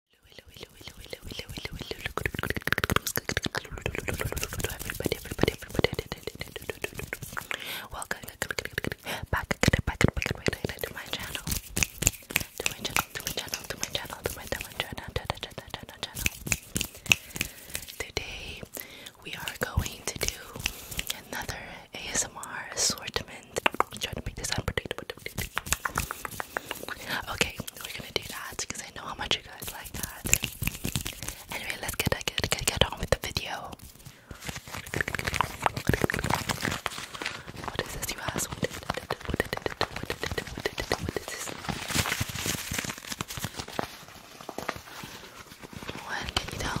Welcome back, to my channel. To my channel, to my channel, to my channel, to my channel, Today we are going to do another ASMR assortment. trying to make this unpredictable Okay, we're gonna do that because I know how much you guys like that. Anyway, let's get get get, get on with the video. What is this, you ask? What is Can you tell?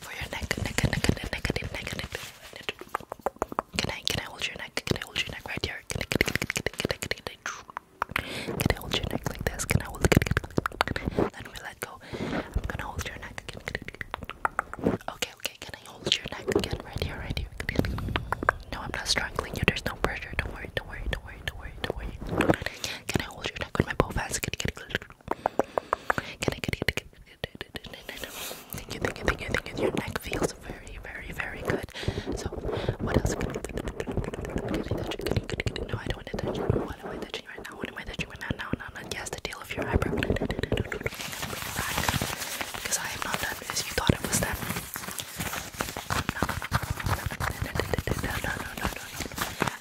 for your neck, neck, neck, neck, neck, neck, neck, neck, neck. Can I, can I hold your neck? Can I hold your neck right here? Can I, can I, can I, can I, can I, can I hold your neck like this? Can I hold? Then we let go. I'm gonna hold your neck again. Okay, okay. Can I hold your neck again? Right here, right here. No, I'm not strangling you. There's no pressure. Don't worry. Don't worry. Don't worry. Don't worry. Don't worry. Can I hold your neck with my both hands? Can I get it? Can I get it? Thank you, thank you, thank you, thank you. Your neck feels very, very, very good. So, what else can I do? No, I don't want to touch you. What am I touching right now? What am I touching right now? No, no, no. Yes, the tail of your eyebrow. I'm gonna bring it back because I am not done because you thought it was done. No, no, no, no, no, no, no.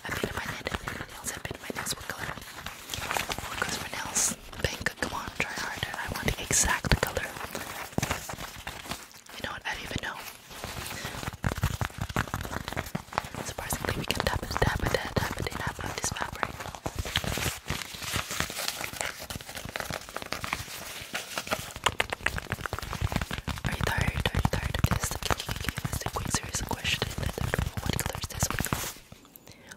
I've been in my head. I've been in my nails. I've been in my nails. What color? What color my nails? this Come on, try harder. I want the exact color. You know what? I don't even know. Surprisingly, we can tap it, tap it, tap it, tap it, this fabric. Are you tired? Are tired this? Can you give me this quick serious question? I don't what color is this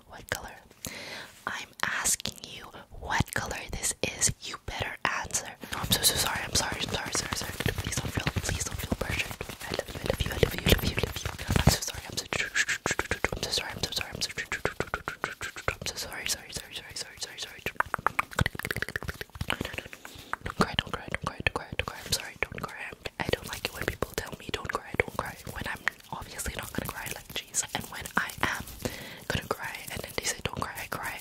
what color? I'm asking you what color this is. You better answer. No, I'm so so sorry. I'm sorry. I'm sorry. Sorry. Sorry. Please don't feel. Please don't feel pressured. I love you. I love you. I love you. I love you. I love you. I'm so sorry. I'm so. I'm so sorry. I'm so sorry. I'm so. I'm so sorry. Sorry. Sorry. Sorry. Sorry. Sorry. Sorry. Don't cry. Don't cry. Don't cry. Don't cry. Don't cry. I'm sorry. Don't cry. I'm I don't like it when people tell me don't cry, don't cry when I'm obviously not gonna cry like jeez. And when I am gonna cry and then they say don't cry, I cry.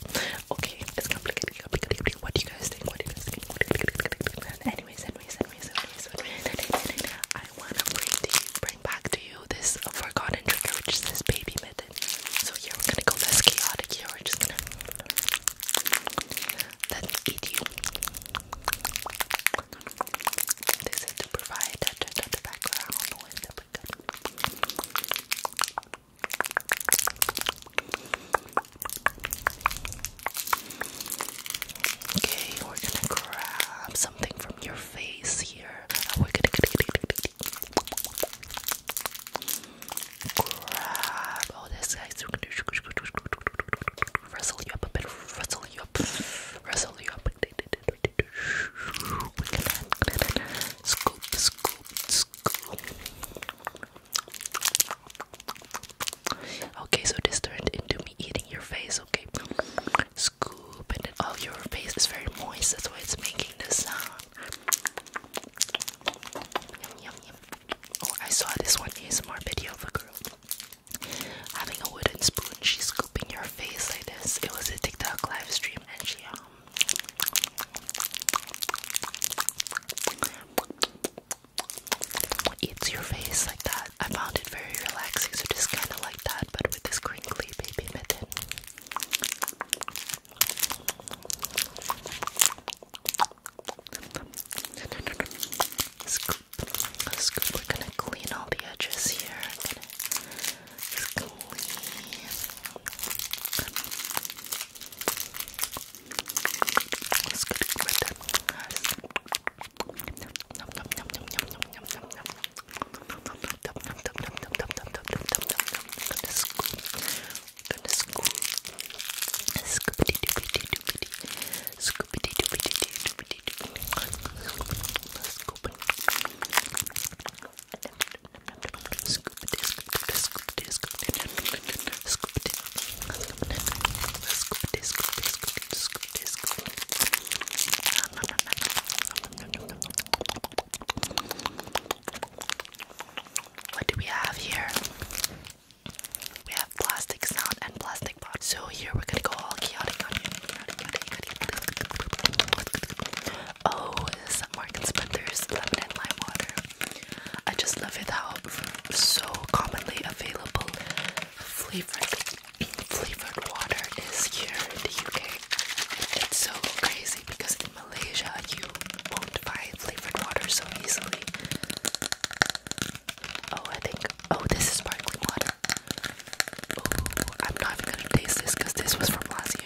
Okay, it's complicated, complicated. What do you guys think? What do you guys think? Anyways, anyways, anyways, anyways, anyways. I wanna bring to you, bring back to you this forgotten trigger which is this baby method. So here we're gonna go less chaotic here, we're just gonna let me eat you. This is to provide a touch the background Okay, we're gonna grab something from your face here. grab. Oh, this guy's rustle you up a bit, rustle you up, rustle you up. scoop, scoop, scoop. Okay, so this turned into me eating your face. Okay, scoop, and then all your face is very moist. That's why it's making this sound. Oh, I saw this one ASMR video of a girl having a wooden spoon, she's scooping your face like this. It was a TikTok live stream, and she um. Eats your face like that. I found it very relaxing, so just kind of like that, but with this crinkly baby mitten scoop. We're gonna clean all the edges here. I'm going what do we have here? We have have plastic sound and plastic pot. So here we're gonna go all chaotic on you. Oh, this Mark and lemon and lime water. I just love it how so commonly available flavored flavored water is here in the UK. It's so crazy because in Malaysia you won't buy flavored water so easily. Oh, I think. Oh, this is sparkling water. Oh, I'm not even gonna taste this because this was from last year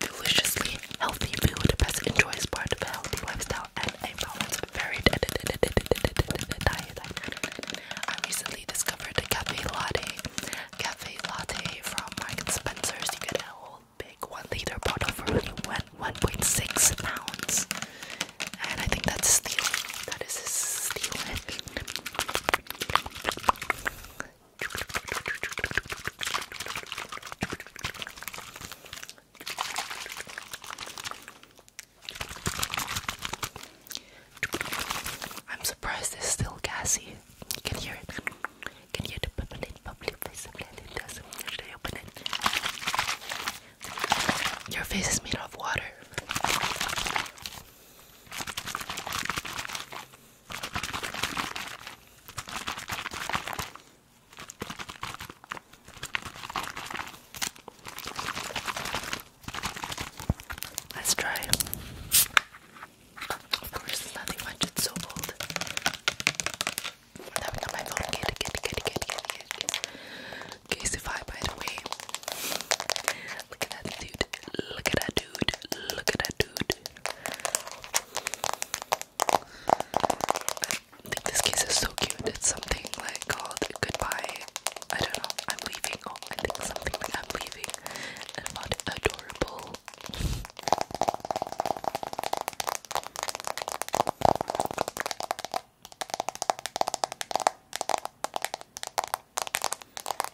deliciously healthy food best enjoys part of healthy lifestyle and a balanced varied diet I recently discovered a cafe latte cafe latte from Mark Spencer's you get a whole big one liter bottle for only 1.6 pounds and I think that's a steal that is still. steal I'm surprised it's still gassy. You can hear it. can hear the bubbling, bubbling Your face is made of water. Let's try. Of course, nothing much. It's so bold. That we got my phone. Get it, get it, get it, get it, get it, get it. Casey by the way. Look at that dude. Look at that dude. Look at that dude. I think this case is so cute. It's something like called Goodbye. I don't know. I'm leaving. Oh, I think something like I'm leaving. And what adorable.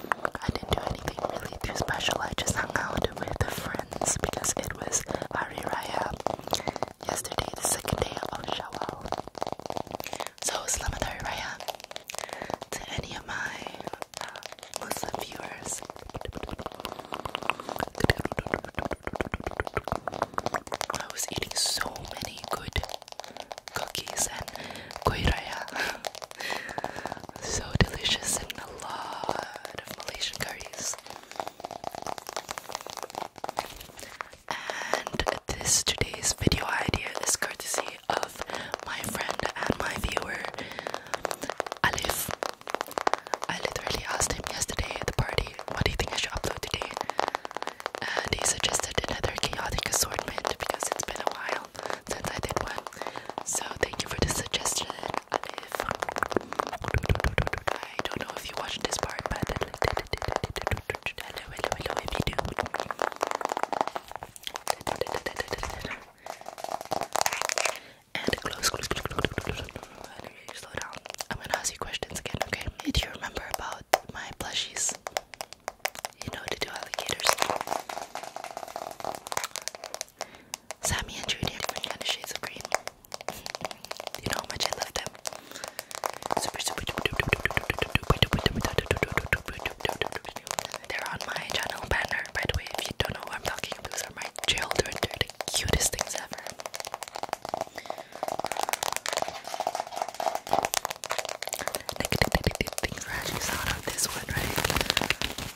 I didn't do anything really too special. I just hung out with friends because it was Hari Raya yesterday, the second day of Shawwal. So, Selamat Hari Raya to any of my uh, Muslim viewers. I was eating so many good cookies and kuiraya. So delicious and a lot of Malaysian curries. And this today's video idea is courtesy of my friend and my viewer, Alif. I literally asked him yesterday at the party, what do you think I should upload today? And he suggested another chaotic assortment because it's been a while since I did one. So thank you for the suggestion. if I don't know if you watched this part, but hello, hello, hello if you do. And close, Slow down. I'm gonna ask you questions again, okay? Did you remember about my plushies? You know, the two alligators. Sammy and Drew different kind of shades of green. You know how much I love them. they're on my channel banner, by the way. If you don't know who I'm talking about, these are my children. they the cutest things ever. Things are actually out of this one, right?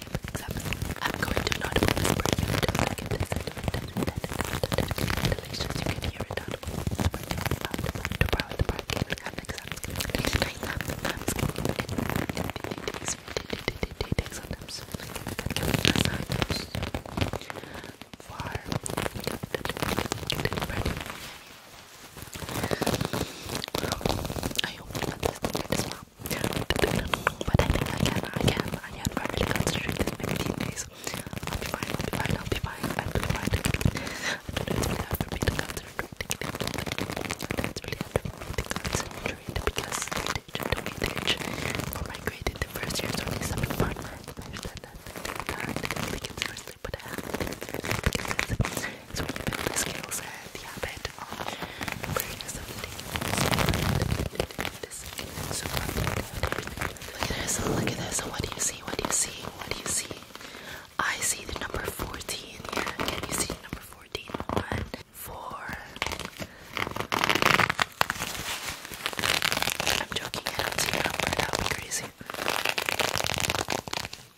I'm going to not whisper you to make it Congratulations, you can hear it audible whisper to borrow the parking and exactly straight up it takes sometimes can we assign those for I hope that this is well but I think I can, I can, I can. I really concentrate this maybe few days. I'll be fine, I'll be fine, I'll be fine, I'll be fine. I don't really have to be concentrating. That's really hard to concentrate because teacher to me teach for my grade in the first year is only something part. I understand that. I think that I can seriously, but I have to take it seriously because it's really been the skill set the habit of creating something super Look at this, look at this. What do you see? What do you see? What do you see? I see the number 14 here. Can you see number 14? One, four. I'm joking, I don't see a number. That would be crazy.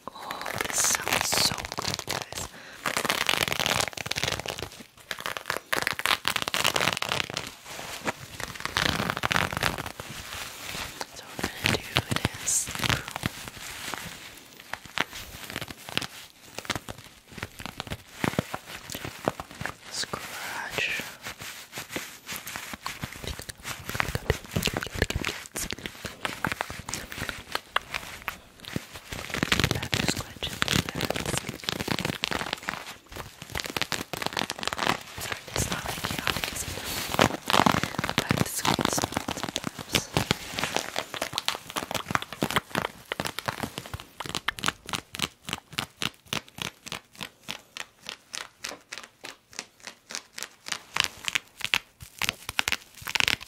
Oh, this sounds so good, guys this. So we're gonna do this. Scratch. Another scratch Sorry, it's not like chaotic, is it? But I have to squeeze sometimes. Okay.